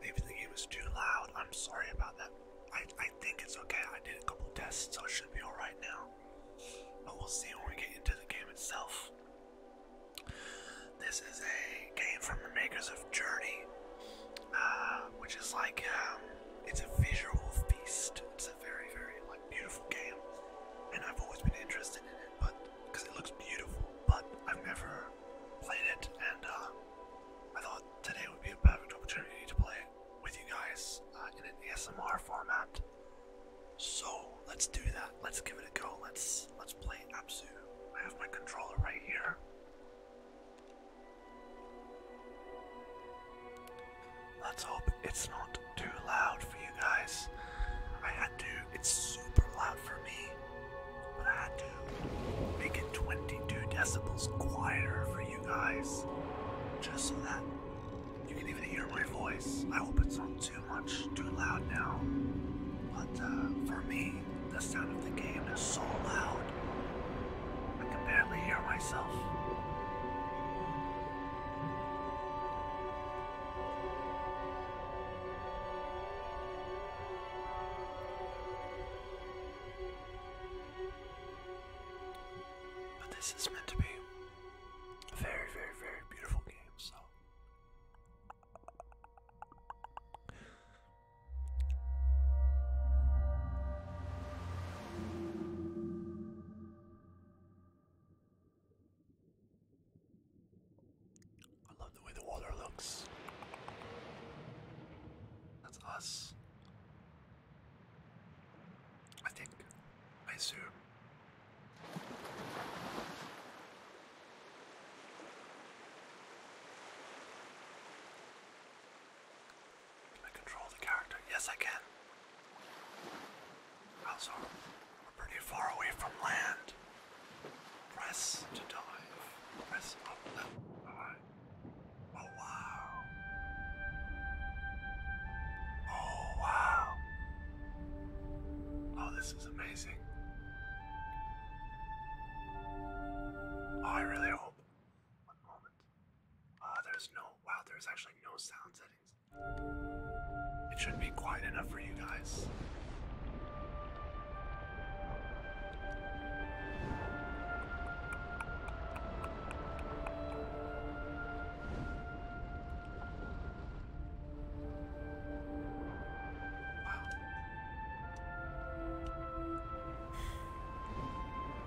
Maybe the game is too loud. I'm sorry about that. I, I think it's okay. I did a couple tests, so I should be alright now. But we'll see when we get into the game itself. This is a game from the makers of Journey, uh, which is like um, it's a visual feast. It's a very, very like beautiful game, and I've always been interested in it, but because it looks beautiful. But I've never played it, and uh, I thought today would be a perfect opportunity to play it with you guys uh, in an ASMR format. So let's do that. Let's give it a go. Let's let's play Absu. I have my controller right here. Let's hope it's not too loud for you guys. I had to it's super loud for me, but I had to make it 22 decibels quieter for you guys, just so that you can even hear my voice. I hope it's not too much, too loud now. But uh, for me, the sound of the game is so loud, I can barely hear myself. But this is meant to be a very, very, very beautiful game, so. I love the way the water looks. That's us. I think. I assume. Can I control the character? Yes, I can. Also, pretty far away from land. Press to dive. up Oh wow. Oh wow. Oh, this is amazing. Oh, I really hope. One moment. Uh, there's no. Wow, there's actually no sound settings. It should be quiet enough for you guys.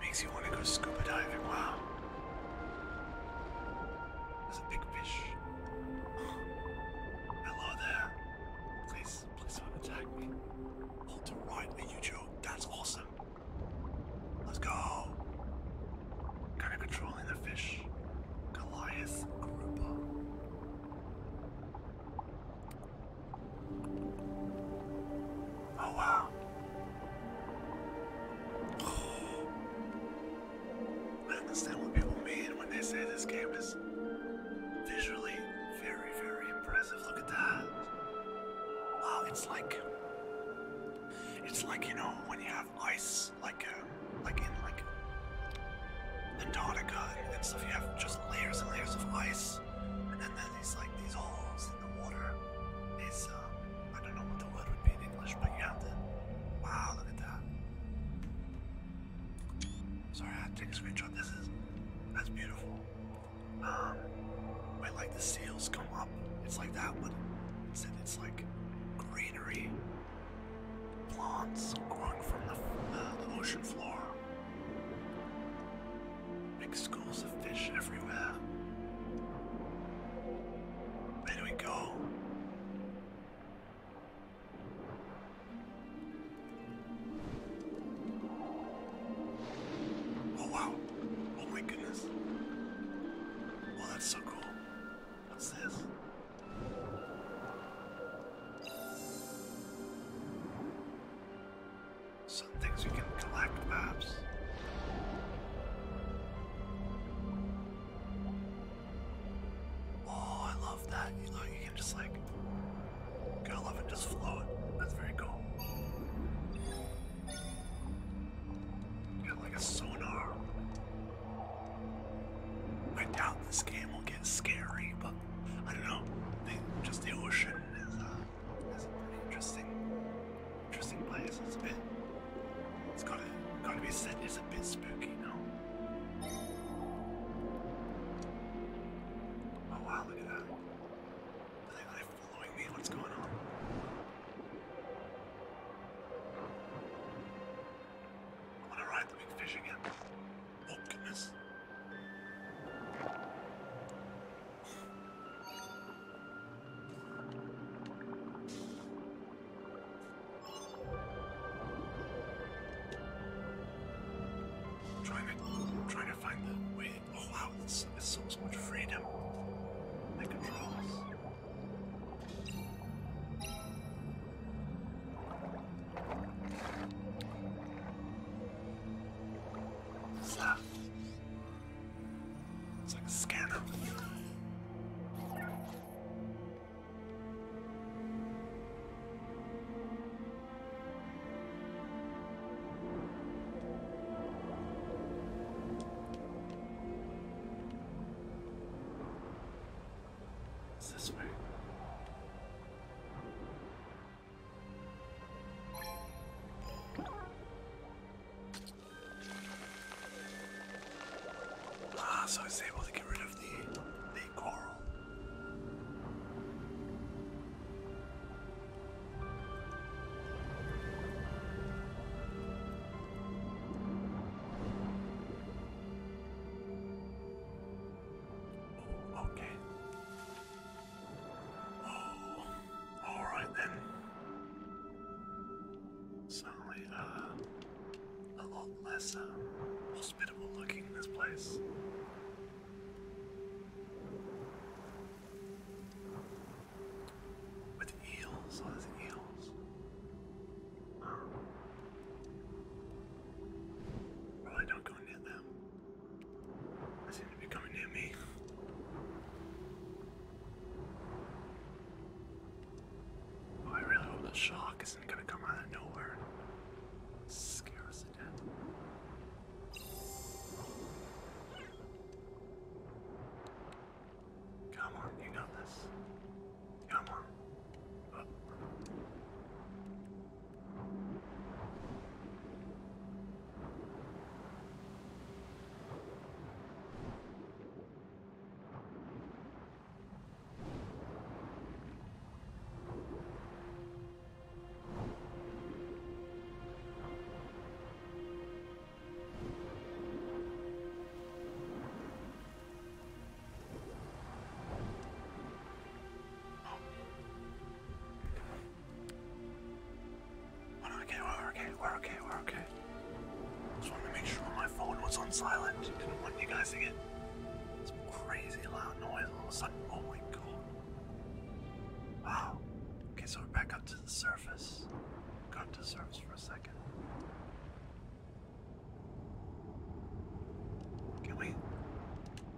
Makes you want to go scuba diving, wow. There's a big fish. Hello there. Please, please don't attack me. Hold to right and you joke. That's awesome. Let's go. Kinda controlling the fish. Goliath Aruba. Oh wow. I understand what people mean when they say this game is visually very, very impressive. Look at that. Wow, it's like it's like you know when you have ice, like uh, like in like Antarctica and stuff. You have just layers and layers of ice, and then there's like these holes in the water. These um, uh, I don't know what the word would be in English, but you have the wow. Look at that. Sorry, I had to take a screenshot. This is that's beautiful. Um, when like the seals come up, it's like that but It's, it's like greenery, plants growing from the ocean floor. Big schools of fish everywhere. Where do we go? Oh wow. Oh my goodness. Well, that's so cool. What's this? Some things we can collect, perhaps. Oh, I love that. You know, you can just like go love and just flow That's very cool. Got like a sonar. I doubt this game will get scary, but I don't know. just the ocean uh, is a pretty interesting, interesting place. It's a bit. It's gotta gotta be said. It's a a bit spooky, no? Oh wow, look at that. they, are following me? What's going on? I want to ride the big fish again. Oh goodness. Trying to, trying to find the way. Oh wow, this is so, so much freedom. The controls. What's that? Uh, it's like a scanner. It's this way. Ah, so I was able to get rid of the the pretty oh, okay. Oh, all right then. Suddenly, uh a lot less um, hospitable looking in this place. With eels, oh, eels. Probably don't go near them. They seem to be coming near me. I really hope that shark is gonna come out of nowhere scare us to death. Come on, you got this. Come on. We're okay, we're okay, we're okay, we're okay. Just wanted to make sure my phone was on silent. Didn't want you guys to get some crazy loud noise all of a sudden. Oh my god. Wow. Okay, so we're back up to the surface. Go up to the surface for a second. Can we?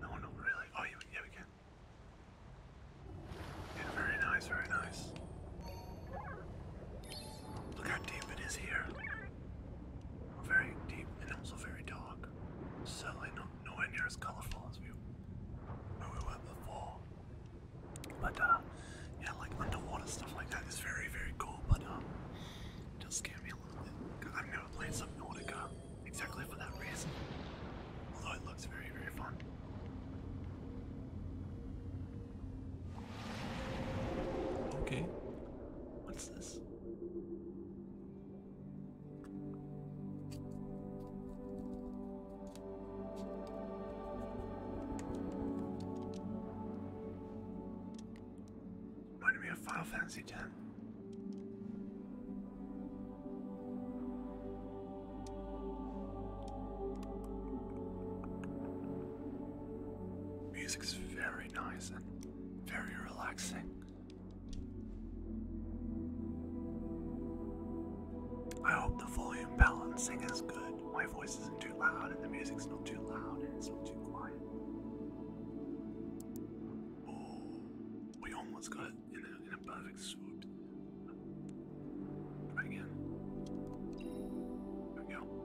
No, no, really. Oh, yeah, we can. very nice, very nice. Look how deep it is here. Very deep and also very dark. Certainly nowhere near as colorful as we were before. But uh, yeah, like underwater stuff like that is very, very cool, but um it does me a little bit. i I've never played Subnautica exactly for that reason. Although it looks very, very fun. Okay. What's this? Reminded me of Final Fantasy X. Music's very nice very relaxing. I hope the volume balancing is good. My voice isn't too loud, and the music's not too loud, and it's not too quiet. Oh, we almost got it in a, perfect swoop. Try again. There we go.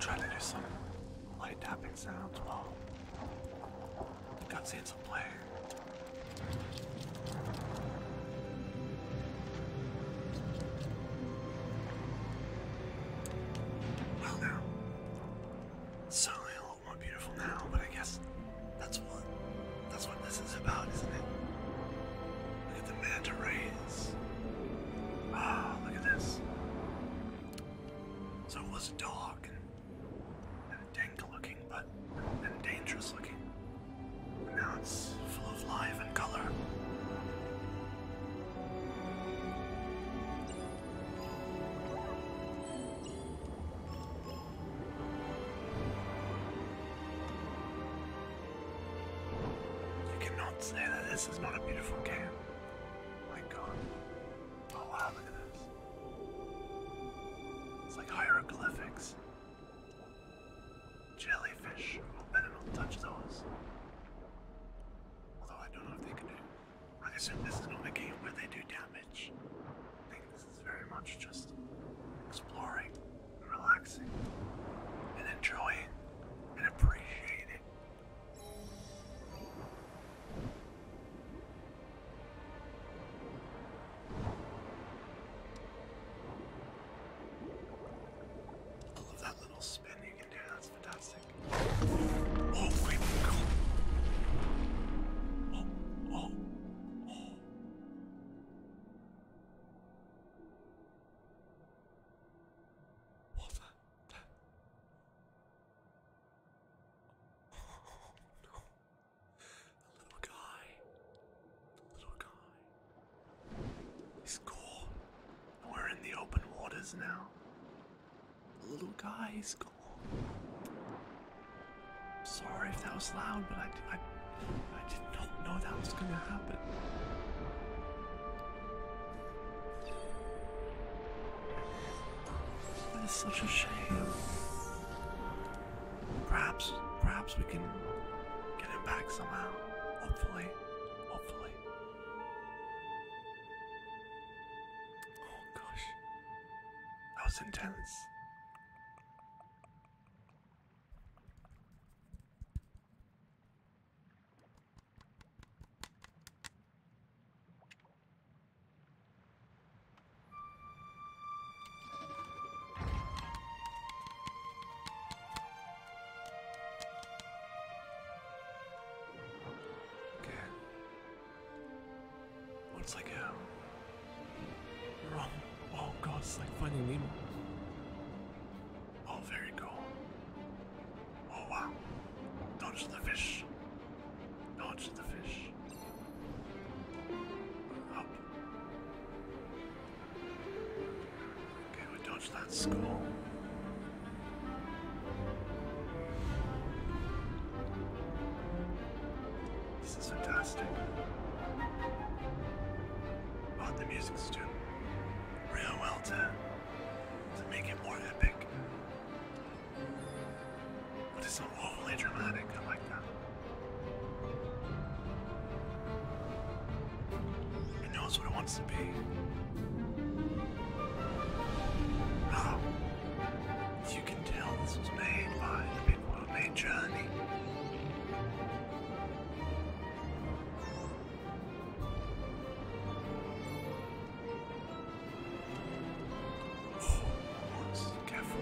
Trying to do some light tapping sounds Well, the cutscenes will play. Well now. Certainly a little more beautiful now, but I guess that's what that's what this is about, isn't it? Look at the manta rays. Ah, look at this. So it was a dog and, dank looking, but and dangerous looking. And now it's full of life and color. You cannot say that this is not a beautiful game. my god. Oh wow, look at this. It's like hieroglyphics. Jellyfish. Oh, I bet it'll touch those. Although I don't know if they can do. I assume this is not a game where they do damage. I think this is very much just exploring, relaxing, and enjoying, and appreciating. I love that little spinning that's fantastic. Oh, oh, what the? the little guy. little guy. He's gone. We're in the open waters now. The little guy is gone. Sorry if that was loud, but I, I, did not know that was gonna happen. It is such a shame. Perhaps, perhaps we can get him back somehow. Hopefully, hopefully. Oh gosh. That was intense. Okay. What's like a wrong? Oh god, it's like Finding Nemo. Oh, very cool. Oh wow! Dodge the fish. Dodge the fish. Up. Can we dodge that skull? This is fantastic. Oh, the music's doing real well to, make it more epic. But it's not overly dramatic, I like that. It knows what it wants to be. Now, you can tell this was made by the people who made Journey. Oh, once, careful.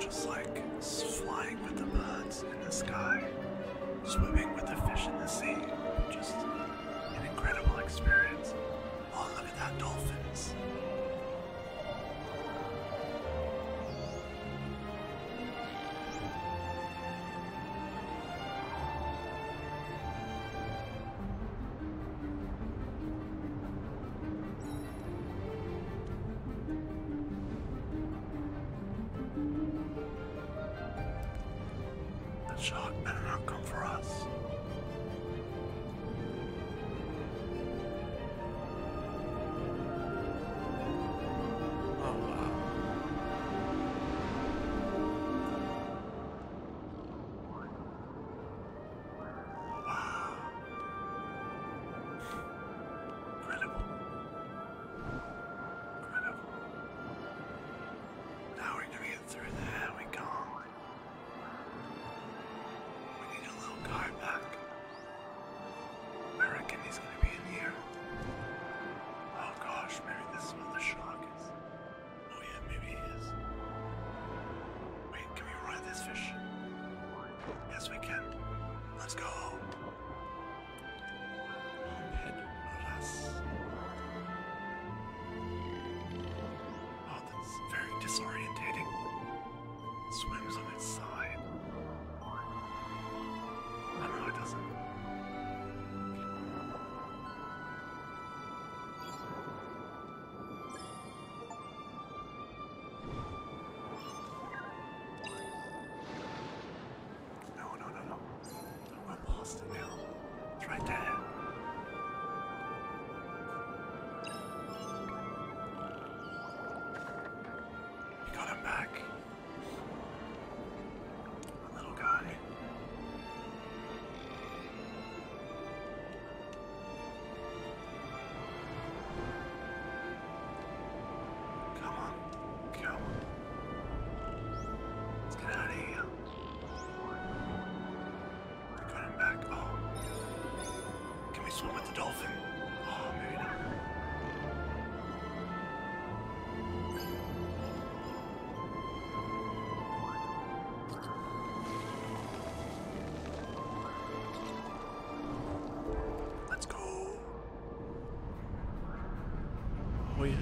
Just like flying with the birds in the sky, swimming with the fish in the sea. Just an incredible experience. Oh, look at that, dolphins. That shot better not come for us. Oh, wow. Now we're gonna get through there, we gone. We need a little car back. I reckon he's gonna be in here. Oh gosh, maybe this is where the shark is. Oh yeah, maybe he is. Wait, can we ride this fish? Yes, we can. Let's go. Oh, that's very disorientating. It swims on its side. I know it doesn't. No, no, no, no. I'm lost it now. It's right there. You got him back. The little guy. Come on, come. Let's get out of here. We're going back. Oh. can we swim with the dolphin? Oh, Let's go. Oh yeah.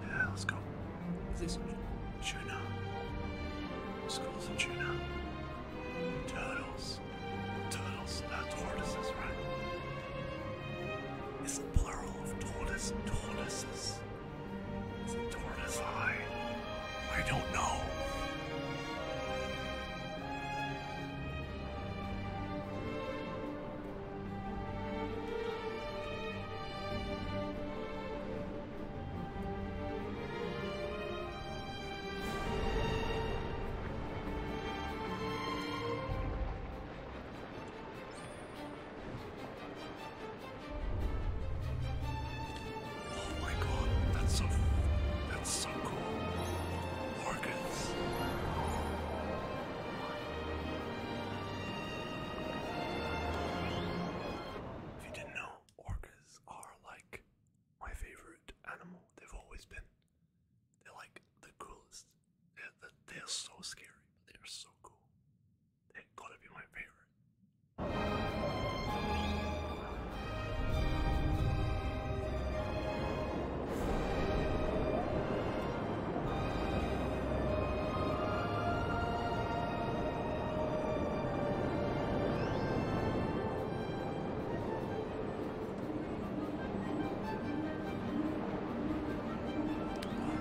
Yeah, let's go. Is this tuna? Schools and tuna. Turtles. Turtles, not uh, tortoises, right? It's the plural of tortoise, tortoises. It's a Torna's eye? I don't know. Oh my god, that's so that's so cool. Organs. If you didn't know, orcas are like my favorite animal. They've always been. They're like the coolest. They're, they're so scary, but they're so cool. It gotta be my favorite.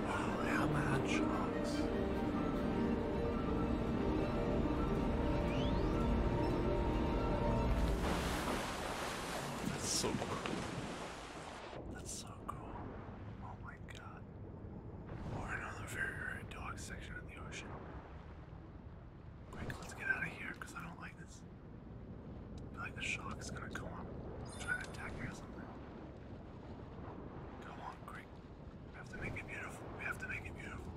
Oh, how much? Uh, that's so cool. That's so cool. Oh my god. Or another very rare dog section in the ocean. Quick, let's get out of here because I don't like this. I feel like the shark's gonna come on, try to attack me or something. Come on, quick. We have to make it beautiful. We have to make it beautiful.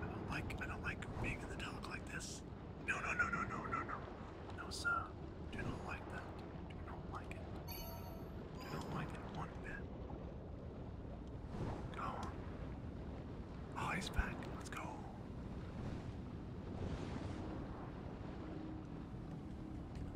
I don't like I don't like being in the dark like this. No no no no no no no. No sir. Do not like that. Do not like it. Do not like it one bit. Go on. Oh, he's back. Let's go.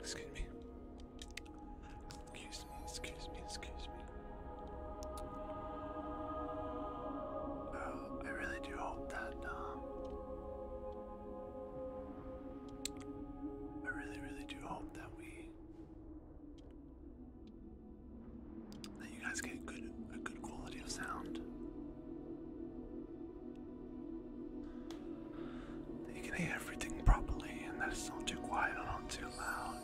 Excuse me. Excuse me, excuse me, excuse me. Oh, I really do hope that, um, I really, really do hope that we that you guys get a good quality of sound. you can hear everything properly and that it's not too quiet or not too loud.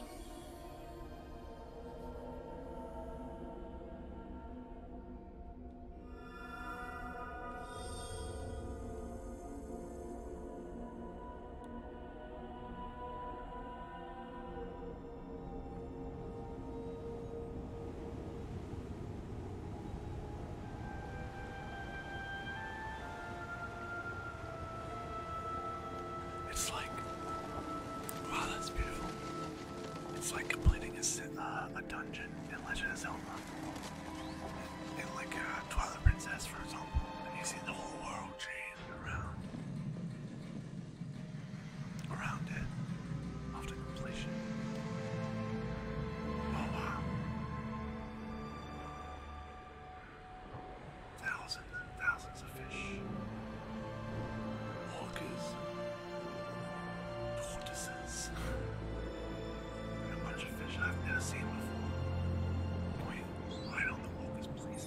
It's like, wow, that's beautiful. It's like completing a, uh, dungeon in Legend of Zelda. In, like uh, Twilight Princess, for example, you see the whole world change around around it after completion. Oh, wow. Thousands and thousands of fish. Orcas. Tortoises. And a bunch of fish I've never seen before. Wait, why the walkers please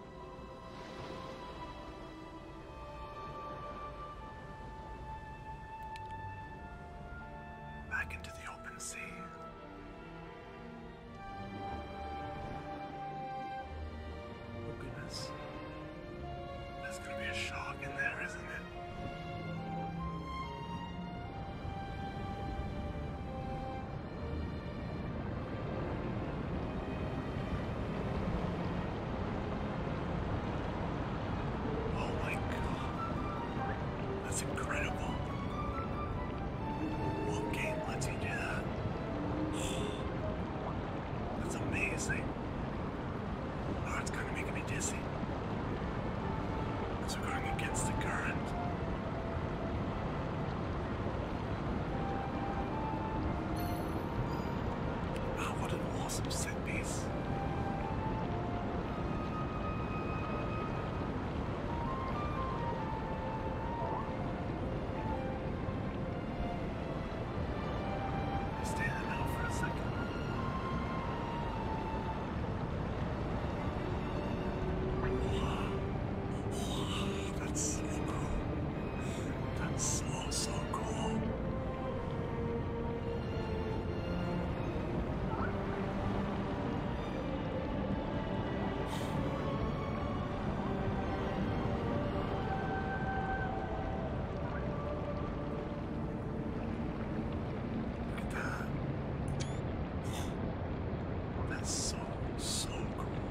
Back into the open sea. Oh goodness. There's gonna be a shark in there, isn't it? Oh my god. That's incredible. What game lets you do that? That's amazing. Oh, it's kind of making me dizzy. So going against the current. Oh, what an awesome set piece. Stay for a second. That's cool. That's so, so cool. Look at that. That's so, so cool.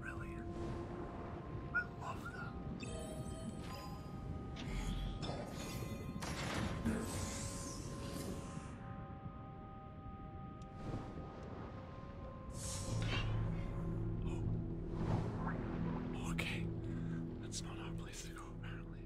Brilliant. I love that. Oh. Okay. That's not our place to go, apparently.